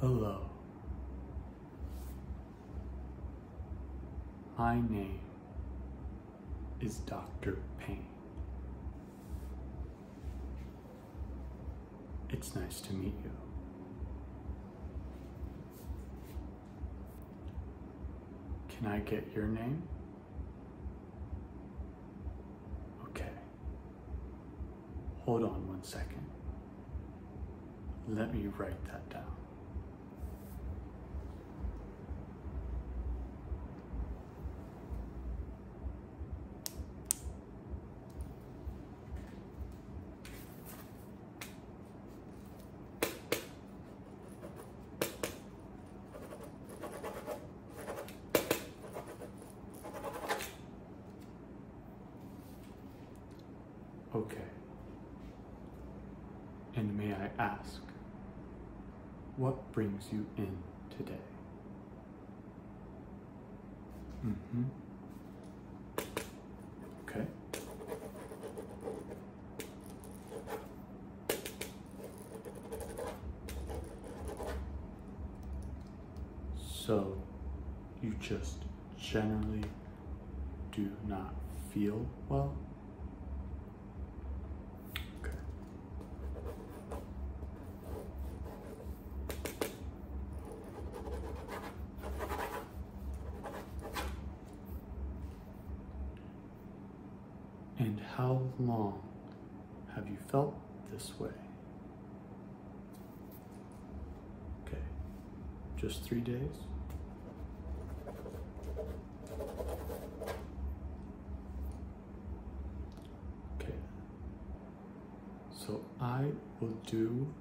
Hello. My name is Dr. Payne. It's nice to meet you. Can I get your name? Okay. Hold on one second. Let me write that down. Okay. And may I ask, what brings you in today? Mm-hmm. Okay. So you just generally do not feel well? Okay. And how long have you felt this way? Okay, just three days? Okay, so I will do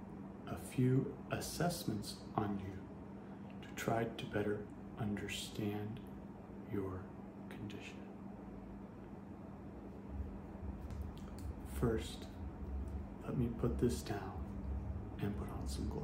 a few assessments on you to try to better understand your condition. First, let me put this down and put on some gloves.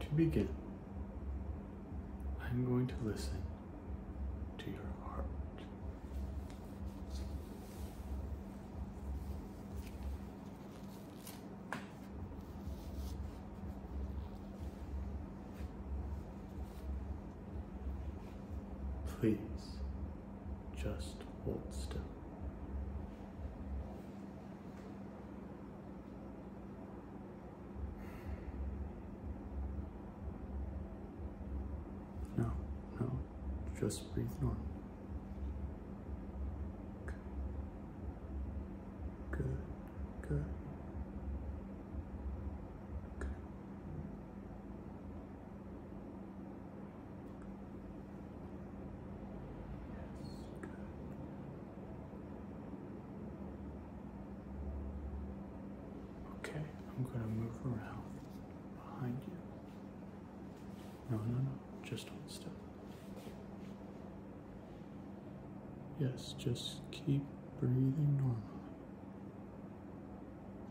to begin, I'm going to listen to your heart. Please just hold still. No, no, just breathe normal. good, good. good. Yes, good. Okay, I'm going to move around behind you. No, no, no, just on step. Yes, just keep breathing normally.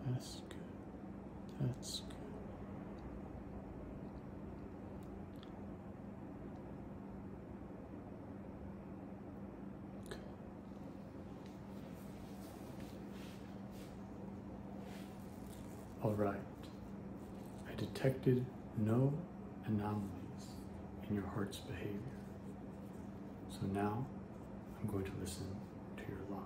That's good. That's good. All right. I detected no anomalies in your heart's behavior. So now I'm going to listen to your lungs.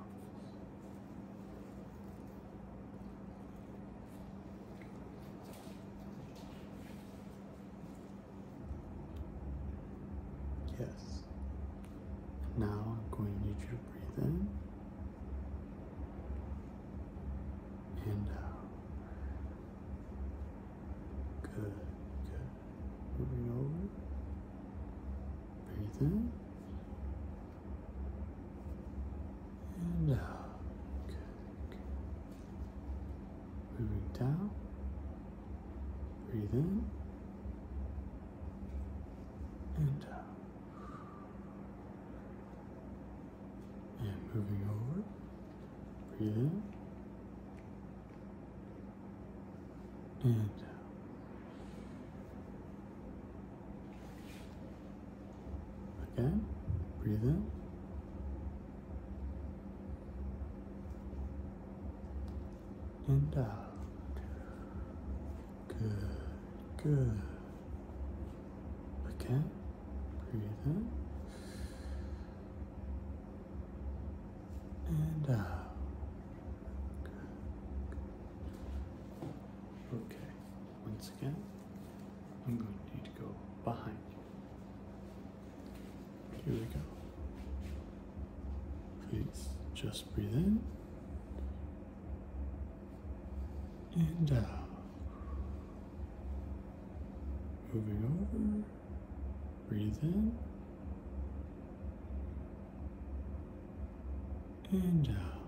Yes. Now I'm going to need you to breathe in and out. Good, good. Moving over. Breathe in and out. Good, good. Moving down. Breathe in. And out. And moving over. Breathe in. And out. Again. Breathe in and out. Good, good. Okay, breathe in. And out. Okay, once again, I'm going to need to go behind you. Here we go. Please just breathe in and out. Moving over, breathe in and out.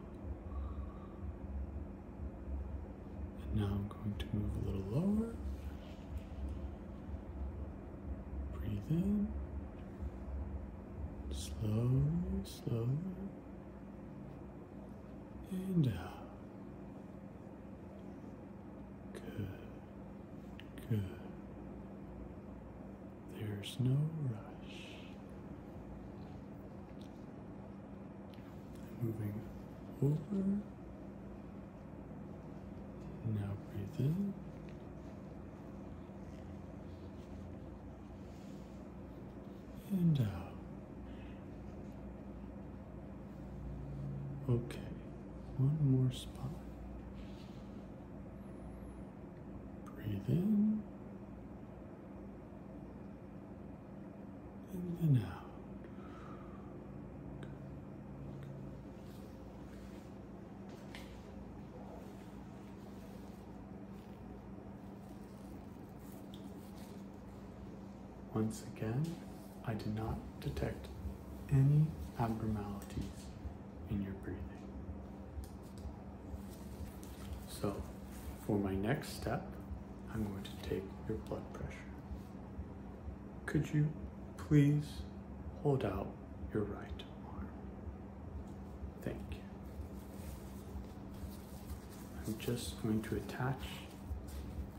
And now I'm going to move a little lower. Breathe in. Slowly, slowly. And out. Good. Good. There's no rush. Moving over now breathe in. And out. Okay, one more spot. Breathe in and out. Once again, I did not detect any abnormalities in your breathing. So, for my next step, I'm going to take your blood pressure. Could you please hold out your right arm? Thank you. I'm just going to attach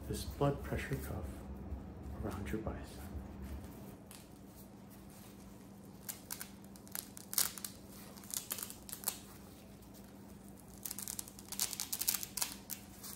this blood pressure cuff around your bicep.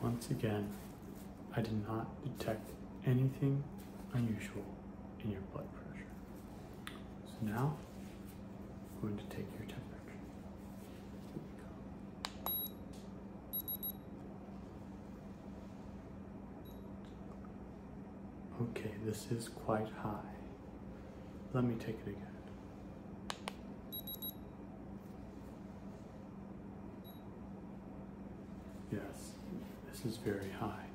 Once again, I did not detect anything unusual in your blood pressure. So now I'm going to take your temperature. Okay, this is quite high. Let me take it again. Yes, this is very high.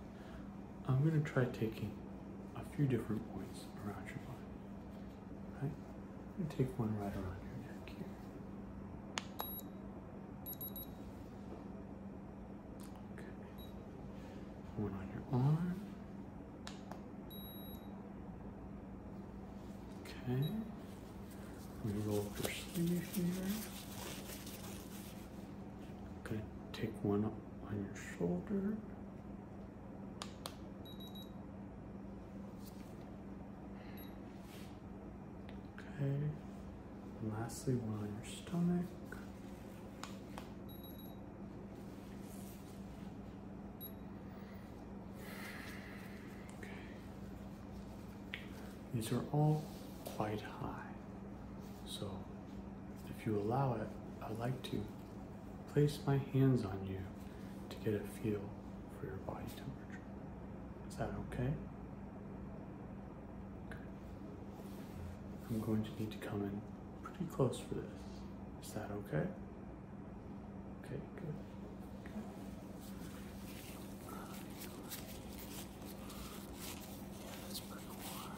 I'm going to try taking a few different points around your body. Right? I'm going to take one right around your neck here. Okay. One on your arm. Okay. We roll up your sleeve here. Okay. Take one on your shoulder. Okay, lastly one on your stomach. Okay. These are all quite high, so if you allow it, I'd like to Place my hands on you to get a feel for your body temperature. Is that okay? okay. I'm going to need to come in pretty close for this. Is that okay? Okay, good. Yeah, that's pretty warm.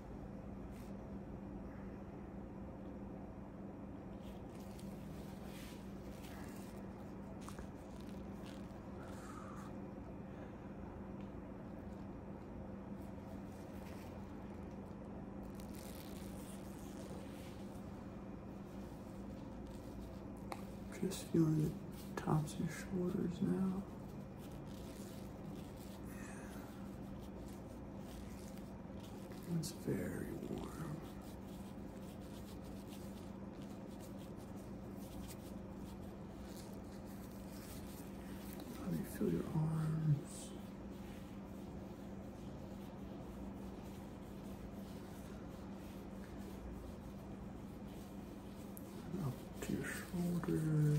Just feeling the tops of shoulders now. It's very warm. How do feel your arms? Up your shoulders.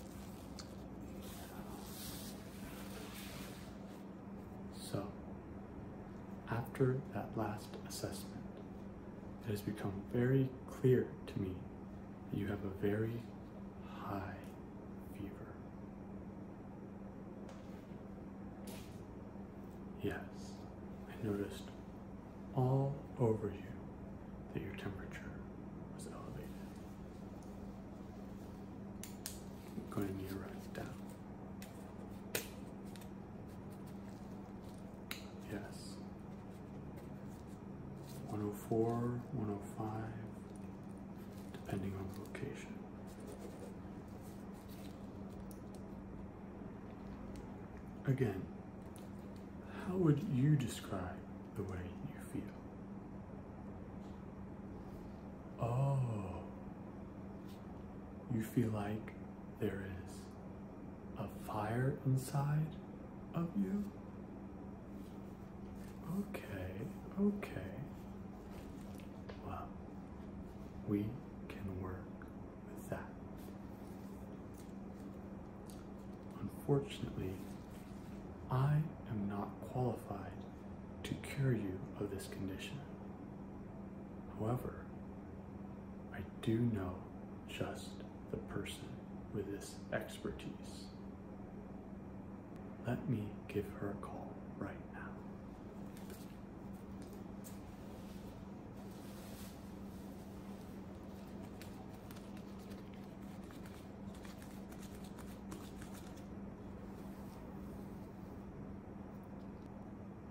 So, after that last assessment, it has become very clear to me that you have a very high fever. Yes, I noticed all over you that your temperature was elevated. Going ahead and you down. Yes. 104, 105, depending on the location. Again, how would you describe the way you feel. Oh, you feel like there is a fire inside of you? Okay, okay. Well, we can work with that. Unfortunately, I am not qualified to cure you of this condition. However, I do know just the person with this expertise. Let me give her a call right now.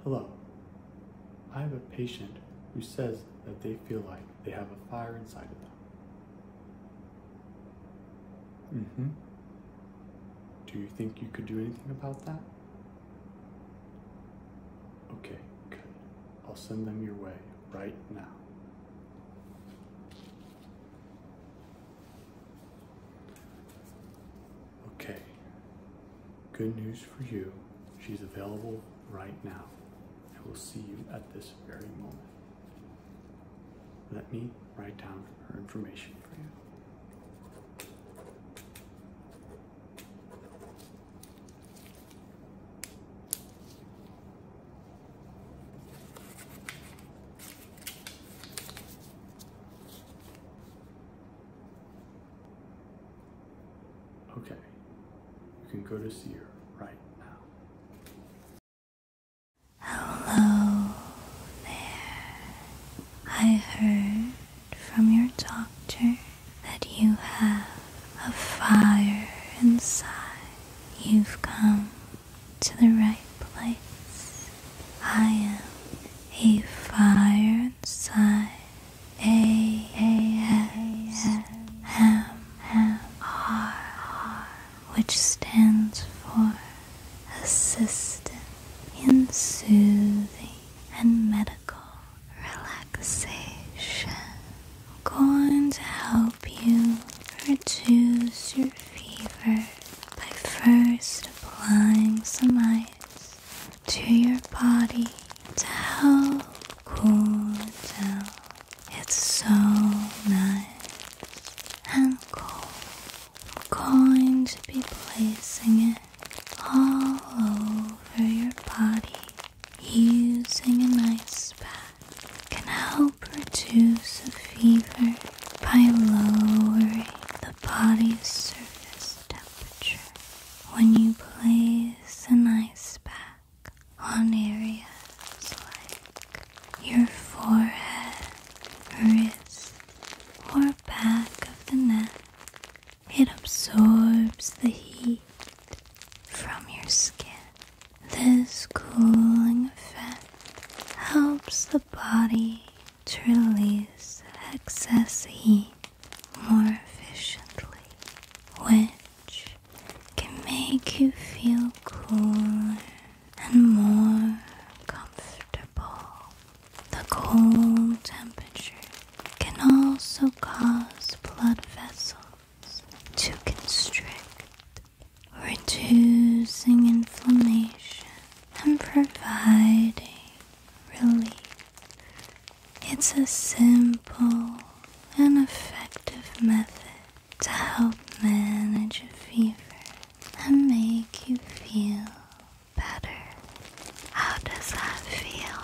Hello. I have a patient who says that they feel like they have a fire inside of them. Mm-hmm. Do you think you could do anything about that? Okay, good. I'll send them your way right now. Okay, good news for you. She's available right now. I will see you at this very moment. Let me write down her information for you. Okay, you can go to see her right now. Hello there. I heard from your doctor that you have a fire inside. You've come to the right place. I am a fire inside. A A S M M R, which stands for assistant in soothing and medical relaxation. I'm going to help you reduce your fever by first applying some ice to your body to help cool down. It's so nice and cold. I'm going to be placing it all over your body using a nice pack can help reduce a fever by lowering the body's surface temperature. When you place an ice pack on areas like your forehead, wrist, or back of the neck, it absorbs the heat from your skin this cooling effect helps the body to release excess heat more efficiently, which can make you feel cooler and more comfortable. The cold temperature can also cause blood vessels to constrict, reducing inflammation and providing relief. It's a simple and effective method to help manage a fever and make you feel better. How does that feel?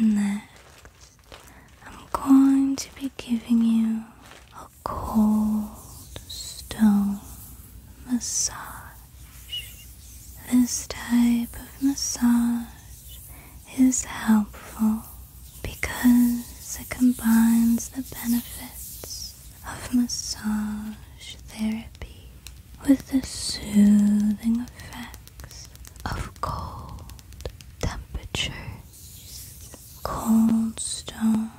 Next, I'm going to be giving you a cold stone massage. This type of massage is helpful because it combines the benefits of massage therapy with the soothing effects of cold temperatures. Cold stone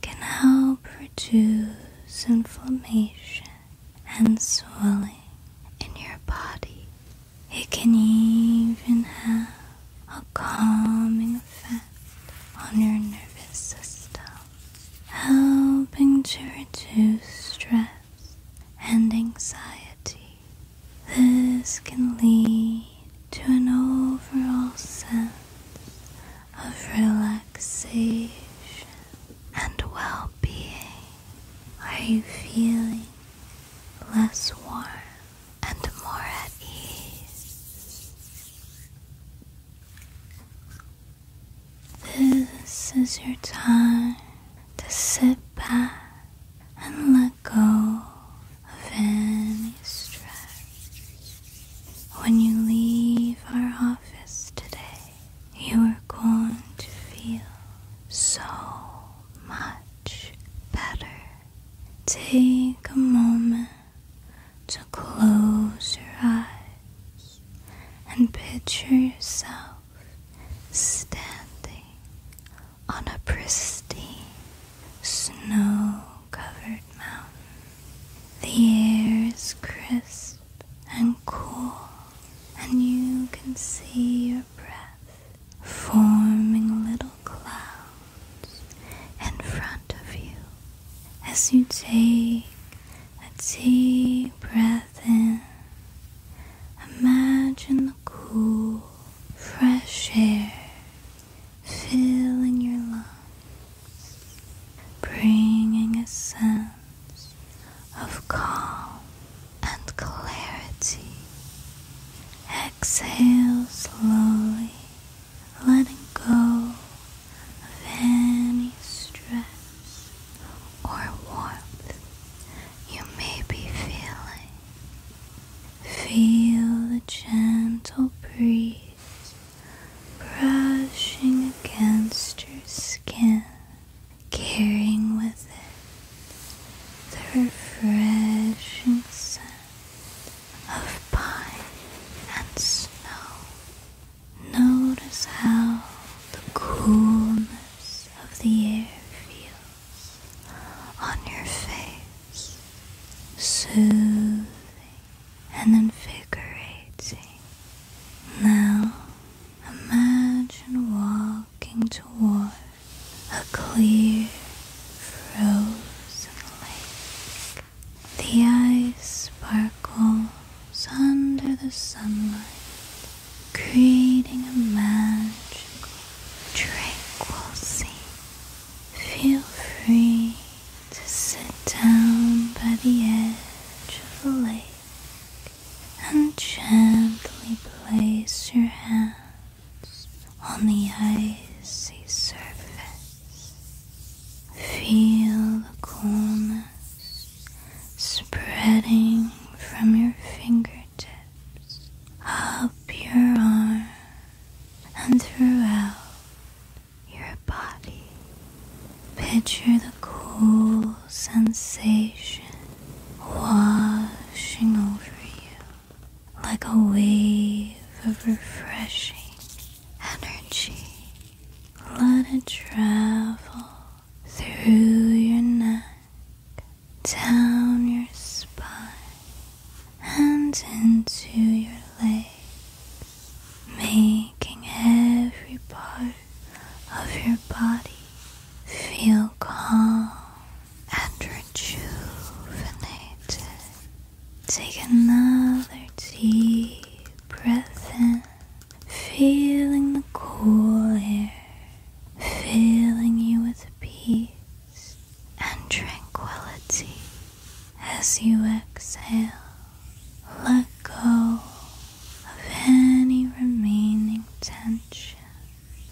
can help reduce inflammation and swelling in your body it can even have a calming effect on your nervous system, helping to reduce stress and anxiety. This can lead to an overall sense of relaxation and well being. Are you feeling less warm and more at ease. This is your time to sit back and let go of any stress. When you leave our office today, you are going to feel so much better. Take a moment to close your eyes and picture yourself standing on a pristine snow covered mountain. The air is crisp and cool, and you can see your breath forming little clouds in front of you as you take a deep breath in. Imagine the cool, fresh air filling your lungs, bringing a sense of calm and clarity. Exhale slowly, letting go of any stress or warmth you may be feeling. Feel the gentle breeze brushing against your skin carrying with it the refreshing scent of pine and snow. Notice how the coolness of the air feels on your face, soothing and invigorating. Now Imagine walking toward a clear, frozen lake. The ice sparkles under the sunlight, creating a magical, tranquil scene. Feel free to sit down by the edge of the lake and gently place your hands on the icy surface. Feel the coolness spreading from your fingertips up your arm and throughout your body. Picture the cool sensation washing over you like a wave of refreshing energy. Let it travel through your neck, down your spine, and into your legs, making every part of your body Feel calm and rejuvenated. Take another deep breath in, feeling the cool air, filling you with peace and tranquility. As you exhale, let go of any remaining tension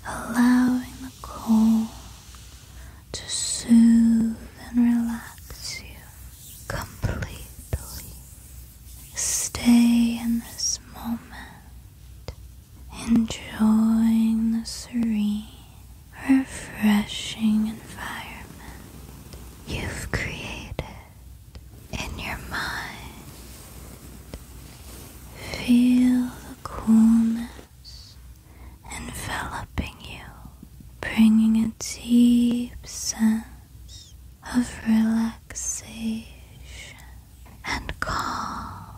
allowing the cold to soothe and relax you completely. Stay in this moment, enjoying the serene, refreshing environment you've created in your mind. Feel the coolness enveloping you, bringing a deep sense of relaxation and calm.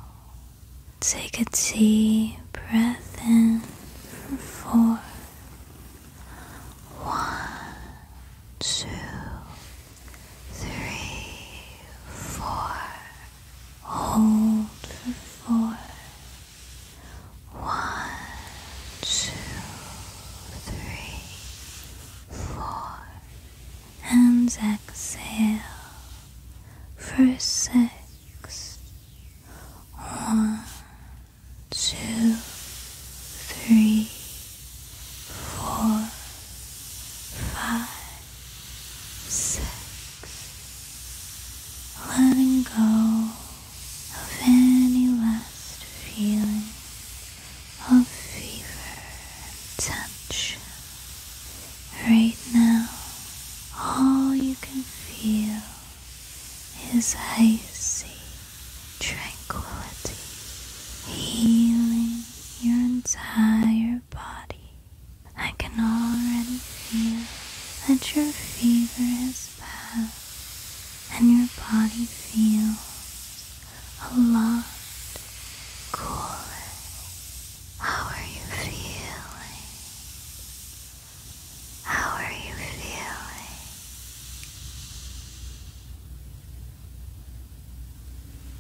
Take a deep breath in for One, two, three, four. Hold for two, three, four. And exhale for six. One, two, three, four, five six, letting go of any last feeling of fever and tension. Right now, all you can feel is icy tranquility healing your entire body. I can already feel that your fever has passed and your body feels a lot cooler. How are you feeling? How are you feeling?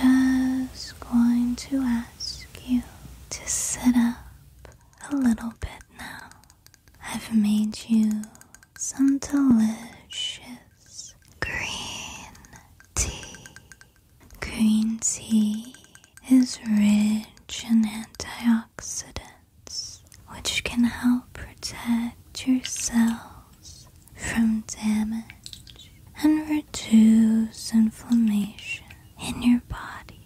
I'm just going to ask you to sit up a little bit now. I've made you some delicious green tea. Green tea is rich in antioxidants, which can help protect your cells from damage and reduce inflammation in your body.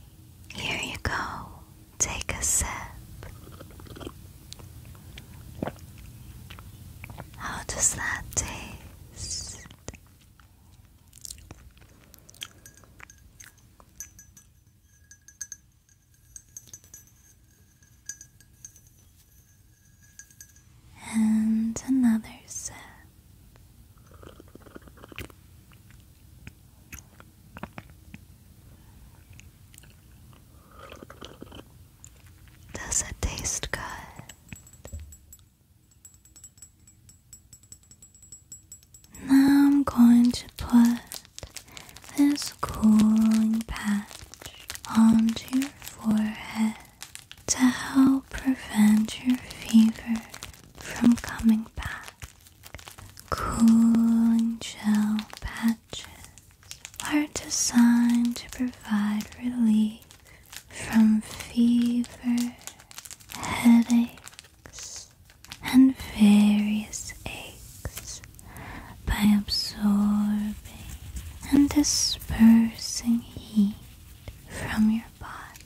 Here you go. Take a sip. How does that taste? And another sip. Does it taste good? Now I'm going to put this cooling patch on your forehead to help prevent your fever from coming back. Cooling gel patches are designed to provide relief from fever, headaches, and various aches by absorbing and dispersing heat from your body.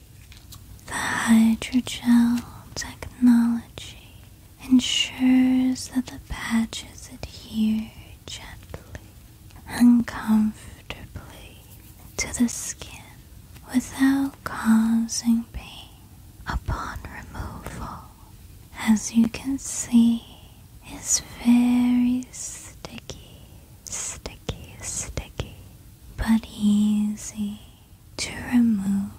The hydrogel technology ensures that the patches adhere gently and comfortably to the skin without causing pain upon removal as you can see, it's very sticky, sticky, sticky, but easy to remove.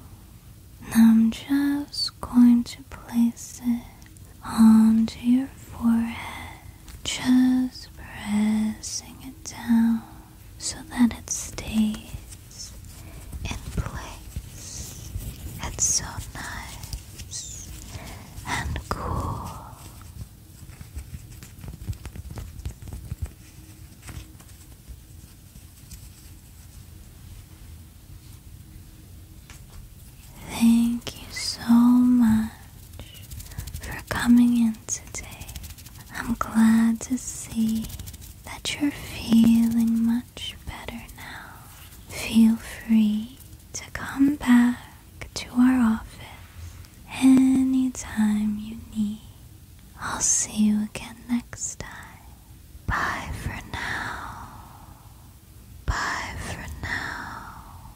I'm just going to place it onto your forehead, just pressing it down so that it stays in place. It's so nice and cool. Thank you so much for coming in today. I'm glad to see that you're feeling much better now. Feel free to come back to our office anytime you need. I'll see you again next time. Bye for now. Bye for now.